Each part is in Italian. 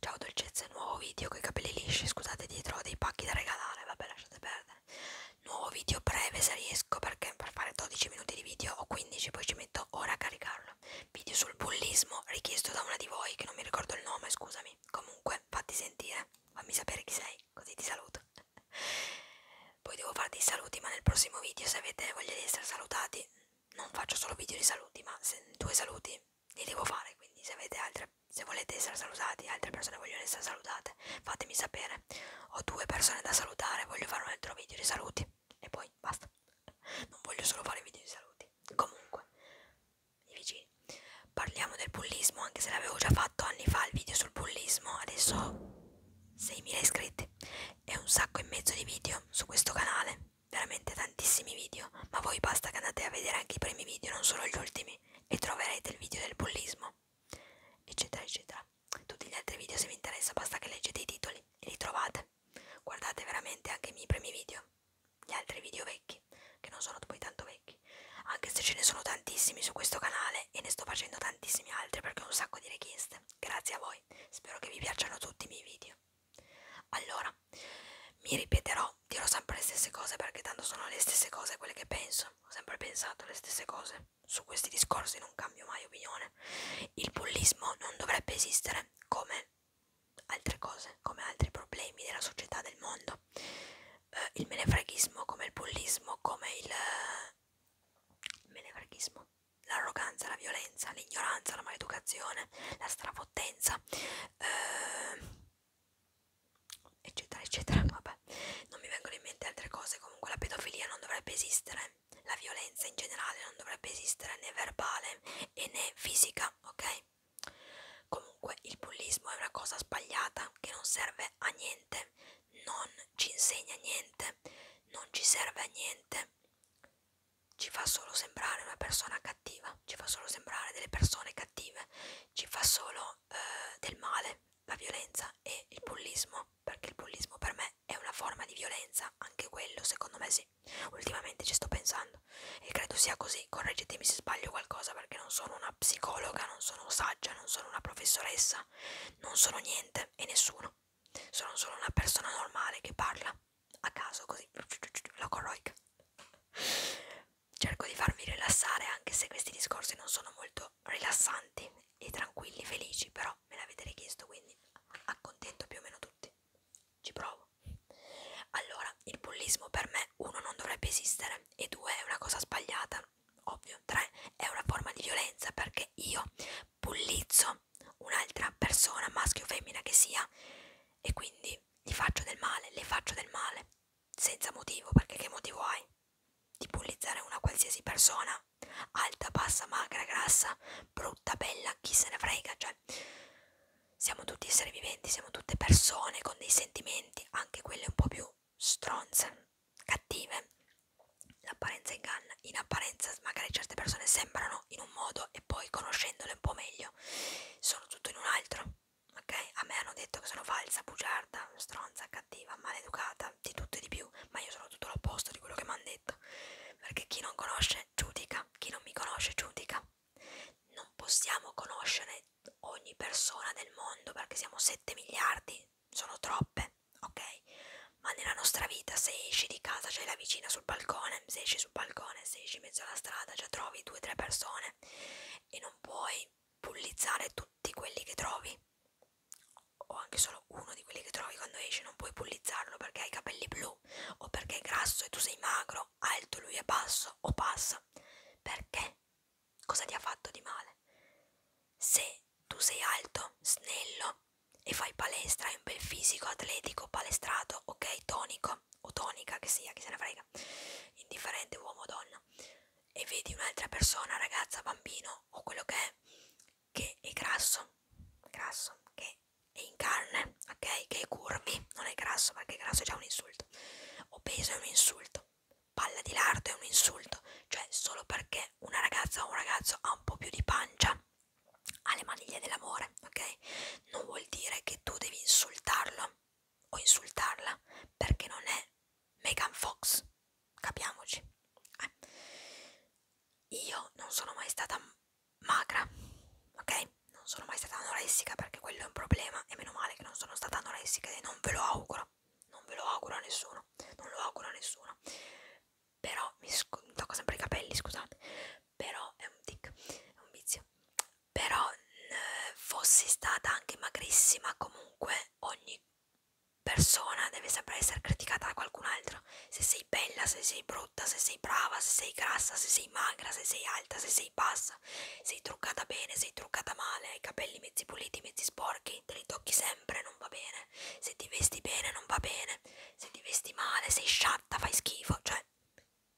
Ciao dolcezze, nuovo video con i capelli lisci, scusate dietro ho dei pacchi da regalare, vabbè lasciate perdere. Nuovo video breve se riesco perché per fare 12 minuti di video o 15 poi ci metto ora a caricarlo. Video sul bullismo richiesto da una di voi che non mi ricordo il nome, scusami. Comunque fatti sentire, fammi sapere chi sei così ti saluto. Poi devo farti i saluti ma nel prossimo video se avete voglia di essere salutati non faccio solo video di saluti ma se, due saluti li devo fare quindi se avete altre se volete essere salutati altre persone vogliono essere salutate fatemi sapere ho due persone da salutare voglio fare un altro video di saluti e poi basta non voglio solo fare video di saluti comunque i vicini parliamo del bullismo anche se l'avevo già fatto anni fa il video sul bullismo adesso ho 6.000 iscritti e un sacco e mezzo di video su questo canale veramente tantissimi video, ma voi basta che andate a vedere anche i primi video, non solo gli ultimi, e troverete il video del bullismo, eccetera, eccetera. Tutti gli altri video, se vi interessa, basta che leggete i titoli e li trovate. Guardate veramente anche i miei primi video, gli altri video vecchi, che non sono poi tanto vecchi, anche se ce ne sono tantissimi su questo canale e ne sto facendo tantissimi altri perché ho un sacco di richieste. Grazie a voi, spero che vi piacciono tutti i miei video. Allora, mi ripeterò, dirò sempre le stesse cose perché tanto sono le stesse cose quelle che penso. Ho sempre pensato le stesse cose. Su questi discorsi non cambio mai opinione. Il bullismo non dovrebbe esistere come altre cose, come altri problemi della società, del mondo. Eh, il menefreghismo, come il bullismo, come il eh, menefreghismo l'arroganza, la violenza, l'ignoranza, la maleducazione, la strafottenza, eh, eccetera eccetera vabbè non mi vengono in mente altre cose comunque la pedofilia non dovrebbe esistere la violenza in generale non dovrebbe esistere né verbale e né fisica ok comunque il bullismo è una cosa sbagliata che non serve a niente non ci insegna niente non ci serve a niente ci fa solo sembrare una persona cattiva, ci fa solo sembrare delle persone cattive, ci fa solo eh, del male, la violenza e il bullismo, perché il bullismo per me è una forma di violenza, anche quello secondo me sì, ultimamente ci sto pensando e credo sia così, correggetemi se sbaglio qualcosa perché non sono una psicologa, non sono saggia, non sono una professoressa, non sono niente e nessuno, sono solo una persona normale che parla a caso così la corroica cerco di farvi rilassare anche se questi discorsi non sono molto rilassanti e tranquilli felici però me l'avete richiesto quindi accontento più o meno tutti ci provo allora il bullismo per me uno non dovrebbe esistere e due è una cosa sbagliata ovvio tre è una forma di violenza perché io bullizzo un'altra persona maschio o femmina che sia e quindi quindi gli faccio del male, le faccio del male, senza motivo, perché che motivo hai? Di bullizzare una qualsiasi persona, alta, bassa, magra, grassa, brutta, bella, chi se ne frega, cioè siamo tutti esseri viventi, siamo tutte persone con dei sentimenti, anche quelle un po' più stronze, cattive. L'apparenza inganna, in apparenza magari certe persone sembrano in un modo e poi conoscendole un po' meglio sono tutto in un altro, ok? A me hanno detto che sono falsa, bugiarda, stronza, cattiva, maleducata, di tutto e di più, ma io sono tutto l'opposto di quello che mi hanno detto, perché chi non conosce giudica, chi non mi conosce giudica. Non possiamo conoscere ogni persona del mondo perché siamo 7 miliardi, sono troppe, ok? Ma nella nostra vita se esci di casa c'è la vicina sul balcone, se esci sul balcone, se esci in mezzo alla strada già cioè trovi due o tre persone e non puoi pullizzare tutti quelli che trovi o anche solo uno di quelli che trovi quando esci non puoi pullizzarlo perché ha i capelli blu o perché è grasso e tu sei magro, alto lui è basso o passa perché? Cosa ti ha fatto di male? Se tu sei alto, snello e fai palestra, hai un bel fisico atletico, palestrato, ok, tonico, tonica o tonica che sia, chi se ne frega, indifferente uomo o donna, e vedi un'altra persona, ragazza, bambino o quello che è, che è grasso, grasso, che è in carne, ok? Che è curvi, non è grasso perché grasso è già un insulto, obeso è un insulto, palla di lardo è un insulto, cioè solo perché una ragazza o un ragazzo ha un po' più di pancia alle maniglie dell'amore, ok? Non vuol dire che tu devi insultarlo o insultarla perché non è Megan Fox, capiamoci. Eh. Io non sono mai stata magra, ok? Non sono mai stata anoressica perché quello è un problema e meno male che non sono stata anoressica e non ve lo auguro, non ve lo auguro a nessuno, non lo auguro a nessuno. Però mi, mi tocco sempre i capelli, scusate però è un tic, è un vizio però eh, fossi stata anche magrissima comunque ogni persona deve sempre essere criticata da qualcun altro se sei bella, se sei brutta, se sei brava, se sei grassa, se sei magra, se sei alta, se sei bassa sei truccata bene, sei truccata male, hai i capelli mezzi puliti, mezzi sporchi te li tocchi sempre, non va bene se ti vesti bene non va bene se ti vesti male, sei sciatta, fai schifo cioè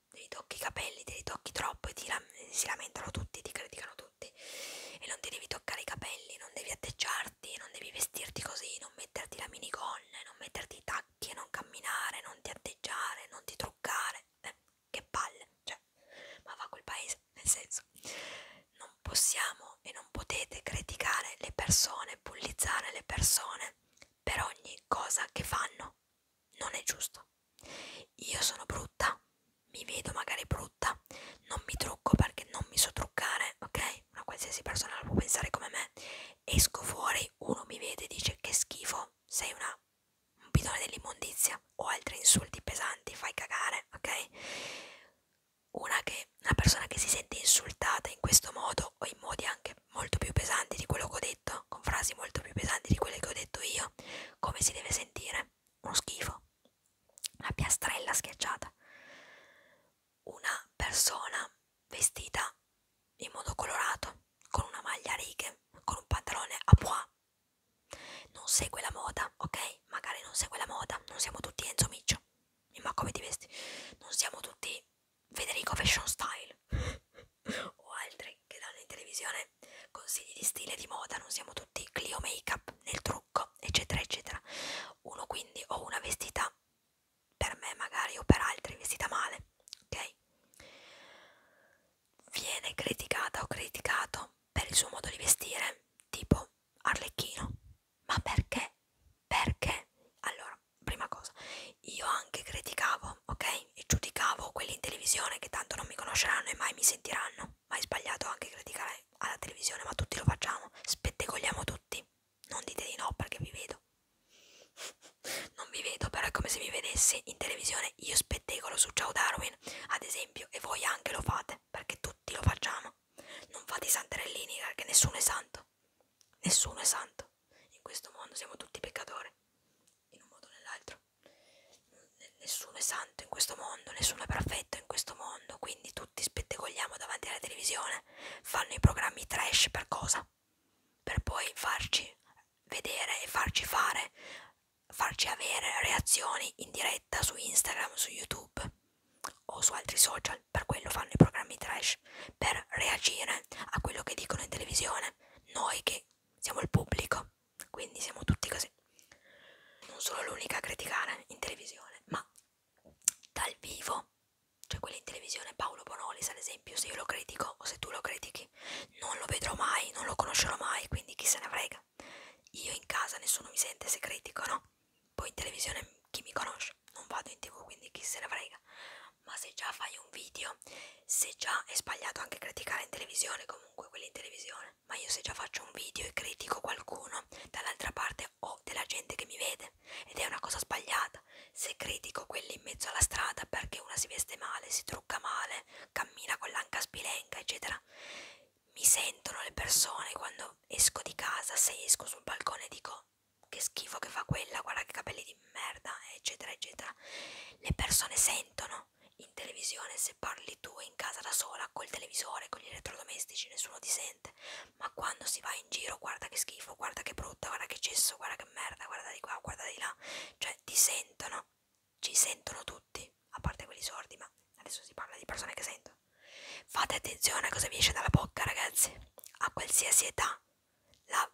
te li tocchi i capelli, te li tocchi troppo e ti la si lamentano tutti, ti criticano tutti e non ti devi toccare i capelli, non devi atteggiarti, non devi vestirti così, non metterti la minigonna, non metterti i tacchi, non camminare, non ti atteggiare, non ti truccare, eh, che palle, cioè, ma va quel paese, nel senso, non possiamo e non potete criticare le persone, bullizzare le persone per ogni cosa che fanno non è giusto. Io sono brutta, mi vedo magari brutta, non mi trucco perché non mi so truccare, ok? Una qualsiasi persona la può pensare come me. Esco fuori, uno mi vede e dice che schifo, sei una, un bidone dell'immondizia o altri insulti pesanti, fai cagare, ok? Una, che, una persona che si sente insultata in questo modo o in modi anche molto più pesanti di quello che ho detto, con frasi molto più pesanti di quelle che ho detto io, come si deve sentire? Uno schifo, una piastrella schiacciata, una persona vestita in modo colorato, con una maglia a righe, con un pantalone a pois, non segue la moda, ok? Magari non segue la moda, non siamo tutti Enzo Miccio, ma come ti vesti? Non siamo tutti Federico Fashion Style o altri che danno in televisione consigli di stile di moda, non siamo tutti Clio Makeup nel trucco, eccetera, eccetera. Uno quindi o una vestita per me magari o per altri vestita male, ok? Viene criticata o criticato per il suo modo di vestire, tipo Arlecchino. Ma perché? Perché? Allora, prima cosa, io anche criticavo, ok? E giudicavo quelli in televisione che tanto non mi conosceranno e mai mi sentiranno. Ma è sbagliato anche criticare alla televisione, ma tutti lo facciamo. Spettegoliamo tutti. Non dite di no perché vi vedo. non vi vedo, però è come se mi vedessi in televisione. Io spettegolo su Ciao Darwin, ad esempio, e voi anche lo fate perché tutti lo facciamo. Non fate i santerellini perché nessuno è santo santo, nessuno è santo, in questo mondo siamo tutti peccatori, in un modo o nell'altro, nessuno è santo in questo mondo, nessuno è perfetto in questo mondo, quindi tutti spettegoliamo davanti alla televisione, fanno i programmi trash per cosa? Per poi farci vedere e farci fare, farci avere reazioni in diretta su Instagram, su YouTube o su altri social, per quello fanno i programmi trash flash per reagire a quello che dicono in televisione, noi che siamo il pubblico, quindi siamo tutti così. Non sono l'unica a criticare in televisione, ma dal vivo, cioè quelli in televisione, Paolo Bonolis ad esempio, se io lo critico o se tu lo critichi, non lo vedrò mai, non lo conoscerò mai, quindi chi se ne frega. Io in casa nessuno mi sente se critico, no? Poi in televisione chi mi conosce? Non vado in tv, quindi chi se ne frega ma se già fai un video, se già è sbagliato anche criticare in televisione, comunque quelli in televisione, ma io se già faccio un video e critico qualcuno, dall'altra parte ho della gente che mi vede ed è una cosa sbagliata. Se critico quelli in mezzo alla strada perché una si veste male, si trucca male, cammina con l'anca spilenca, eccetera, mi sentono le persone quando esco di casa, se esco sul balcone dico che schifo che fa quella, guarda che capelli di merda, eccetera, eccetera. Le persone sentono in televisione se parli tu in casa da sola col televisore, con gli elettrodomestici, nessuno ti sente, ma quando si va in giro, guarda che schifo, guarda che brutta, guarda che cesso, guarda che merda, guarda di qua, guarda di là, cioè ti sentono, ci sentono tutti, a parte quelli sordi, ma adesso si parla di persone che sentono. Fate attenzione a cosa vi esce dalla bocca, ragazzi, a qualsiasi età. La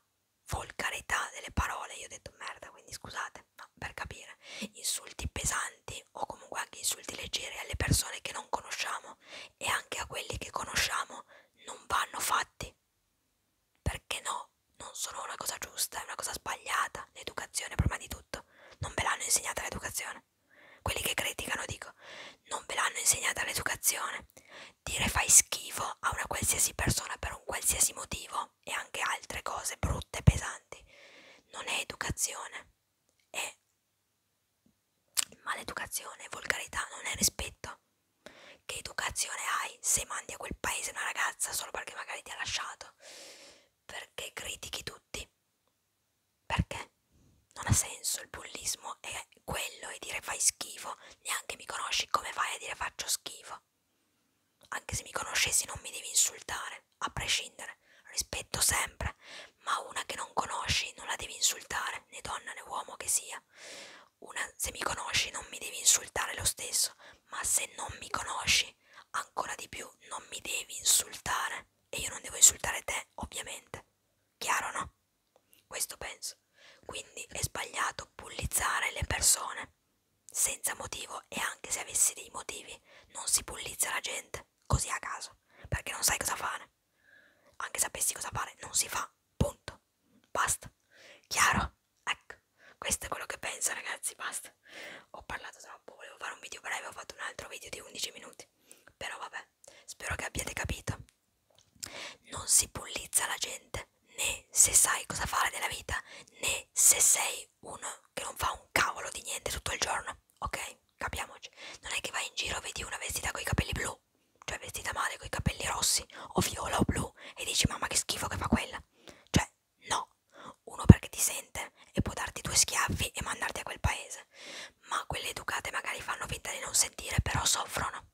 volgarità delle parole, io ho detto merda, quindi scusate, no, per capire, insulti pesanti o comunque anche insulti leggeri alle persone che non conosciamo e anche a quelli che conosciamo non vanno fatti, perché no, non sono una cosa giusta, è una cosa sbagliata, l'educazione prima di tutto, non ve l'hanno insegnata l'educazione, quelli che criticano dico, non ve l'hanno insegnata l'educazione, dire fai schifo a una qualsiasi persona per un qualsiasi motivo e anche altre cose brutte, pesanti, non è educazione, è maleducazione, volgarità, non è rispetto. Che educazione hai se mandi a quel paese una ragazza solo perché magari ti ha lasciato? Perché critichi tutti? Perché? Non ha senso, il bullismo è quello, è dire fai schifo neanche mi conosci, come fai a dire faccio schifo? Anche se mi conoscessi non mi devi insultare, a prescindere, rispetto sempre, ma una che non conosci non la devi insultare, né donna né uomo che sia. Una, se mi conosci non mi devi insultare lo stesso, ma se non mi conosci, ancora di più non mi devi insultare e io non devo insultare te, ovviamente. Chiaro no? Questo penso. Quindi è sbagliato bullizzare le persone senza motivo e anche se avessi dei motivi non si bullizza la gente così a caso perché non sai cosa fare. Anche sapessi cosa fare non si fa. Punto. Basta. Chiaro? Ecco, questo è quello che penso ragazzi, basta. Ho parlato troppo, volevo fare un video breve, ho fatto un altro video di 11 minuti. Però vabbè, spero che abbiate capito. Non si bullizza la gente, né se sai cosa fare della vita, né se sei uno che non fa un cavolo di niente tutto il giorno, ok? Capiamoci. Non è che vai in giro, vedi una vestita con i capelli blu, cioè vestita male con i capelli rossi, o viola o blu, e dici mamma che schifo che fa quella. Cioè, no. Uno perché ti sente e può darti due schiaffi e mandarti a quel paese. Ma quelle educate magari fanno finta di non sentire, però soffrono.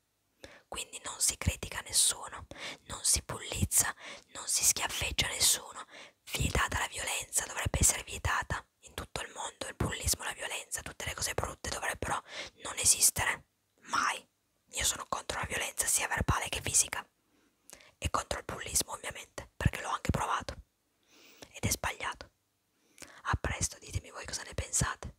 Quindi non si critica nessuno, non si pullizza, non si schiaffeggia nessuno. Vietata la violenza, dovrebbe essere vietata in tutto il mondo, il bullismo, la violenza, tutte le cose brutte dovrebbero non esistere. Mai. Io sono contro la violenza sia verbale che fisica. E contro il bullismo ovviamente, perché l'ho anche provato. Ed è sbagliato. A presto, ditemi voi cosa ne pensate.